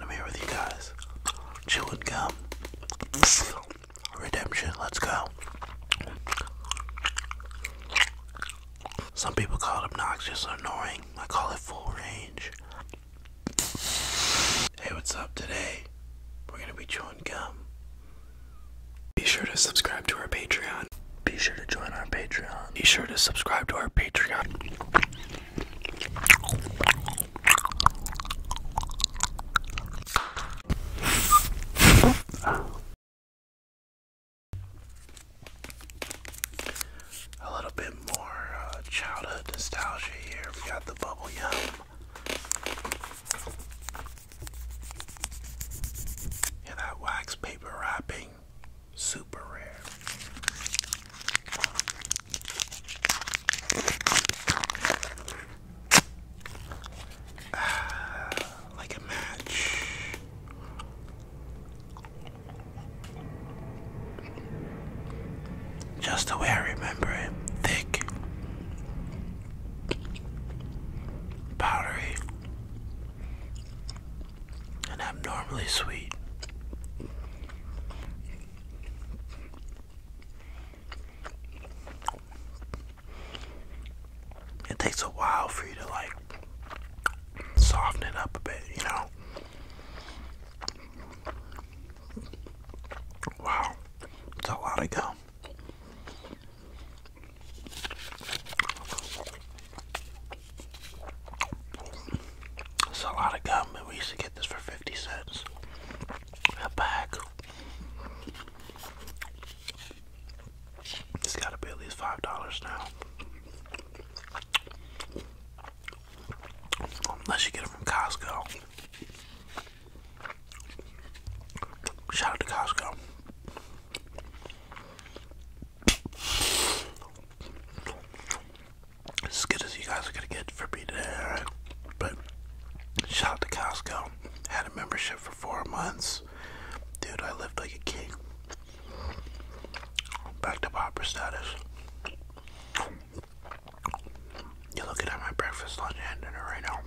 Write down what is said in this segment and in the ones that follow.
I'm here with you guys. Chewing gum. Redemption, let's go. Some people call it obnoxious or annoying. I call it full range. Hey, what's up today? We're gonna be chewing gum. Be sure to subscribe to our Patreon. Be sure to join our Patreon. Be sure to subscribe to our Patreon. A little bit more uh, childhood nostalgia here. We got the bubble yum. Yeah, that wax paper wrapping super rare. Ah, like a match. Just the way I remember it. Thick. Powdery and abnormally sweet. It takes a while for you to like soften it up a bit, you know. Wow, it's a lot of go. It's a lot of gum, and we used to get this for 50 cents a bag. It's gotta be at least $5 now. Unless you get it from Costco. Shout out to Costco. As good as you guys are gonna get for me today, But shout out to Costco. Had a membership for four months. Dude, I lived like a king. Back to pauper status. You're looking at my breakfast, lunch, and dinner right now.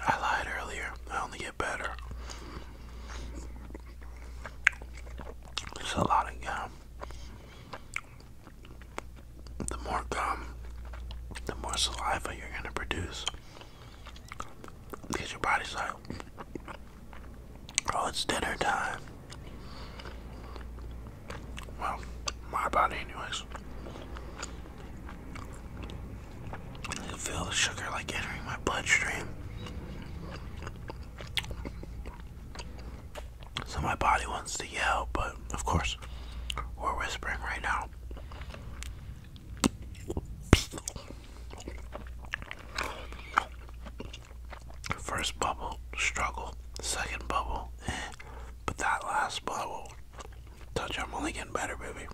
I lied earlier. I only get better. It's a lot of gum. The more gum, the more saliva you're gonna produce. Because your body's like, oh, it's dinner time. Well, my body, anyways. I feel the sugar like entering my bloodstream. So my body wants to yell, but of course, we're whispering right now. First bubble, struggle. Second bubble, eh. But that last bottle, touch, I'm only getting better, baby.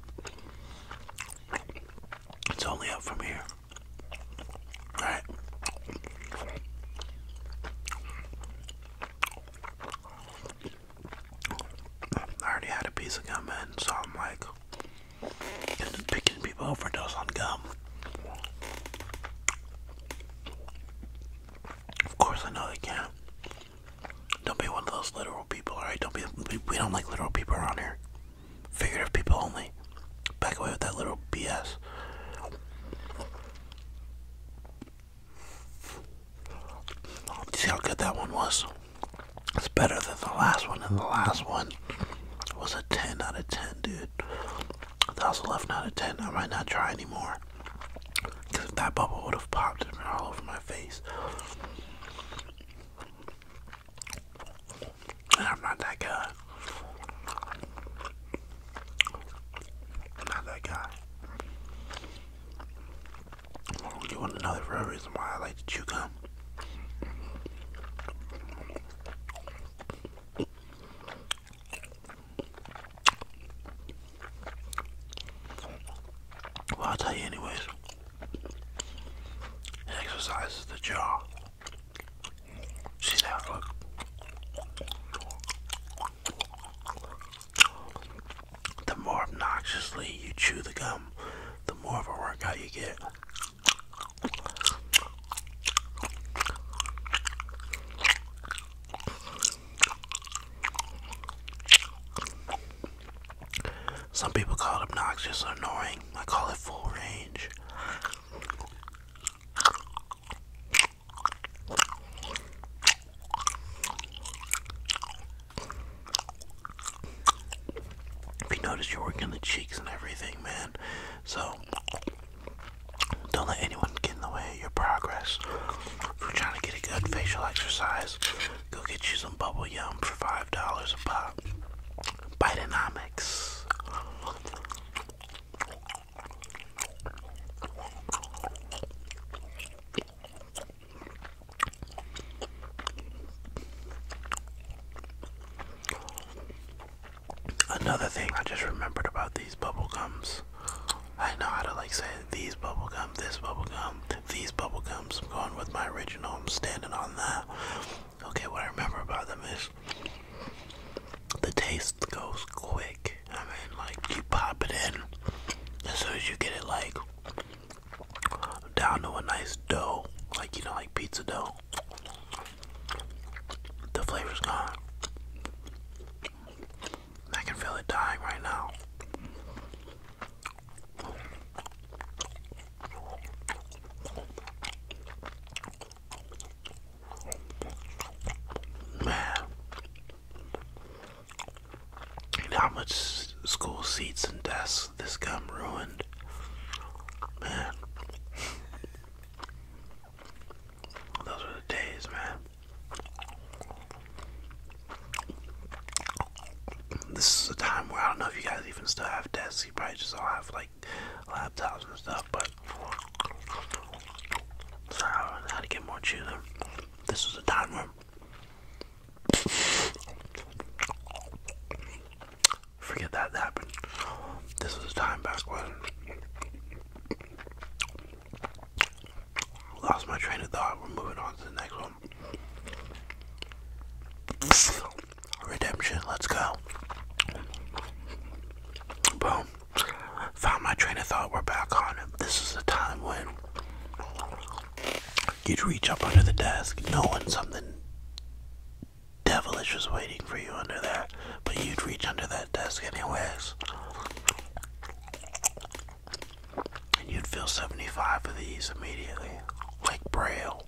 It's only up from here. I already had a piece of gum in, so I'm like picking people overdose on gum. Of course, I know they can. Don't be one of those literal people, alright? Don't be. We don't like literal people around here. Figurative people only. Back away with that little BS. See how good that one was? It's better than the last one, and the last one was a 10 out of 10, dude. That's left out of 10. I might not try anymore. Because if that bubble would have popped it all over my face. I'm not that guy. not that guy. You want another real reason why I like to chew gum? Well, I'll tell you, anyways. It exercises the jaw. See that look? The more obnoxiously you chew the gum, the more of a workout you get. Some people call it obnoxious or annoying. I call it full range. If you notice, you're working the cheeks and everything, man. So, don't let anyone get in the way of your progress. If you're trying to get a good facial exercise, go get you some bubble yum for five dollars a pop. Bidenomics. Another thing I just remembered about these bubble gums. I know how to like say these bubble gum, this bubble gum, these bubble gums. I'm going with my original. I'm standing on that. Okay, what I remember about them is the taste goes quick. I mean, like you pop it in as soon as you get it, like down to a nice dough, like you know, like pizza dough. The flavor's gone. I can feel it dying right now. Man, how much school seats and desks this gum ruined? Man, those were the days, man. This is a time where I don't know if you guys even still have desks. You probably just all have like laptops and stuff, but so I how to get more chewing. This was a time where forget that happened. This was a time back when lost my train of thought. We're moving on to the next one. Redemption, let's go. Boom. Found my train of thought, we're back on it. This is the time when you'd reach up under the desk, knowing something devilish was waiting for you under there, but you'd reach under that desk anyways. And you'd feel 75 of these immediately, like Braille.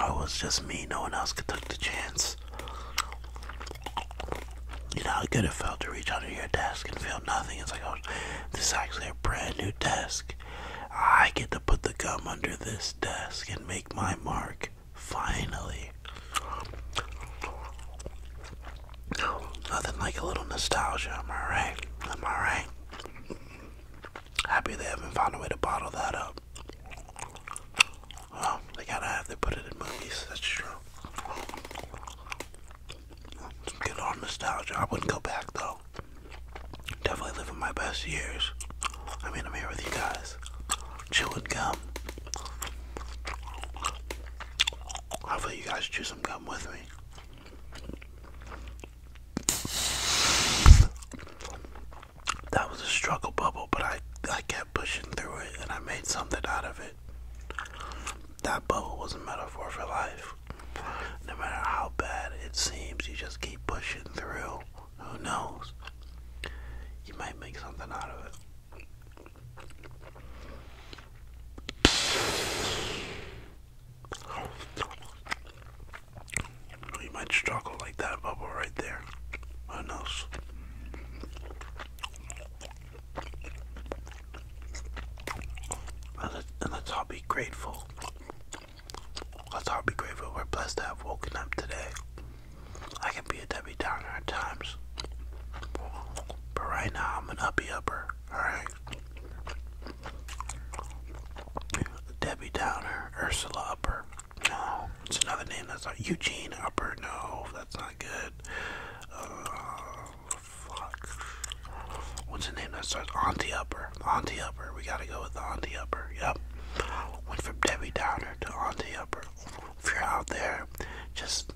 Oh, it was just me, no one else could take the chance. You know how good it felt to reach under your desk and feel nothing. It's like, oh, this is actually a brand new desk. I get to put the gum under this desk and make my mark. Finally. Nothing like a little nostalgia, am I Am I Happy they haven't found a way to bottle that up. Well, they gotta have to put it in movies, that's true. Get all nostalgia. I wouldn't go back though. Definitely living my best years. I mean, I'm here with you guys. Chewing gum. Hopefully, you guys chew some gum with me. That was a struggle bubble, but I, I kept pushing through it and I made something out of it. That bubble was a metaphor for life. No matter how bad it seems, you just keep pushing through. Who knows? You might make something out of it. You might struggle like that bubble right there. Who knows? let's all be grateful. Let's all be grateful we're blessed to have woken up today. I can be a Debbie Downer at times. But right now I'm an uppy upper, alright? Debbie Downer, Ursula Upper. No, it's another name that's not Eugene Upper. No, that's not good. Uh, What's the name that starts? Auntie Upper. Auntie Upper. We gotta go with Auntie Upper. Yep. Went from Debbie Downer to Auntie Upper. If you're out there, just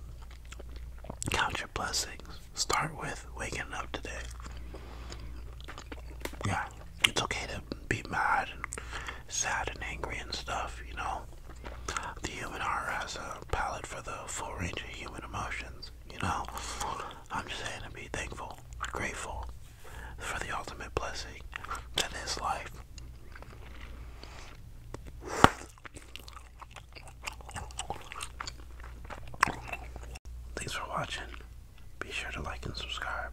count your blessings. Start with waking up today. Yeah, it's okay to be mad and sad and angry and stuff, you know. The human heart has a palette for the full range of human emotions. You know, I'm just saying to be thankful, grateful for the ultimate blessing that is life. Thanks for watching. Be sure to like and subscribe.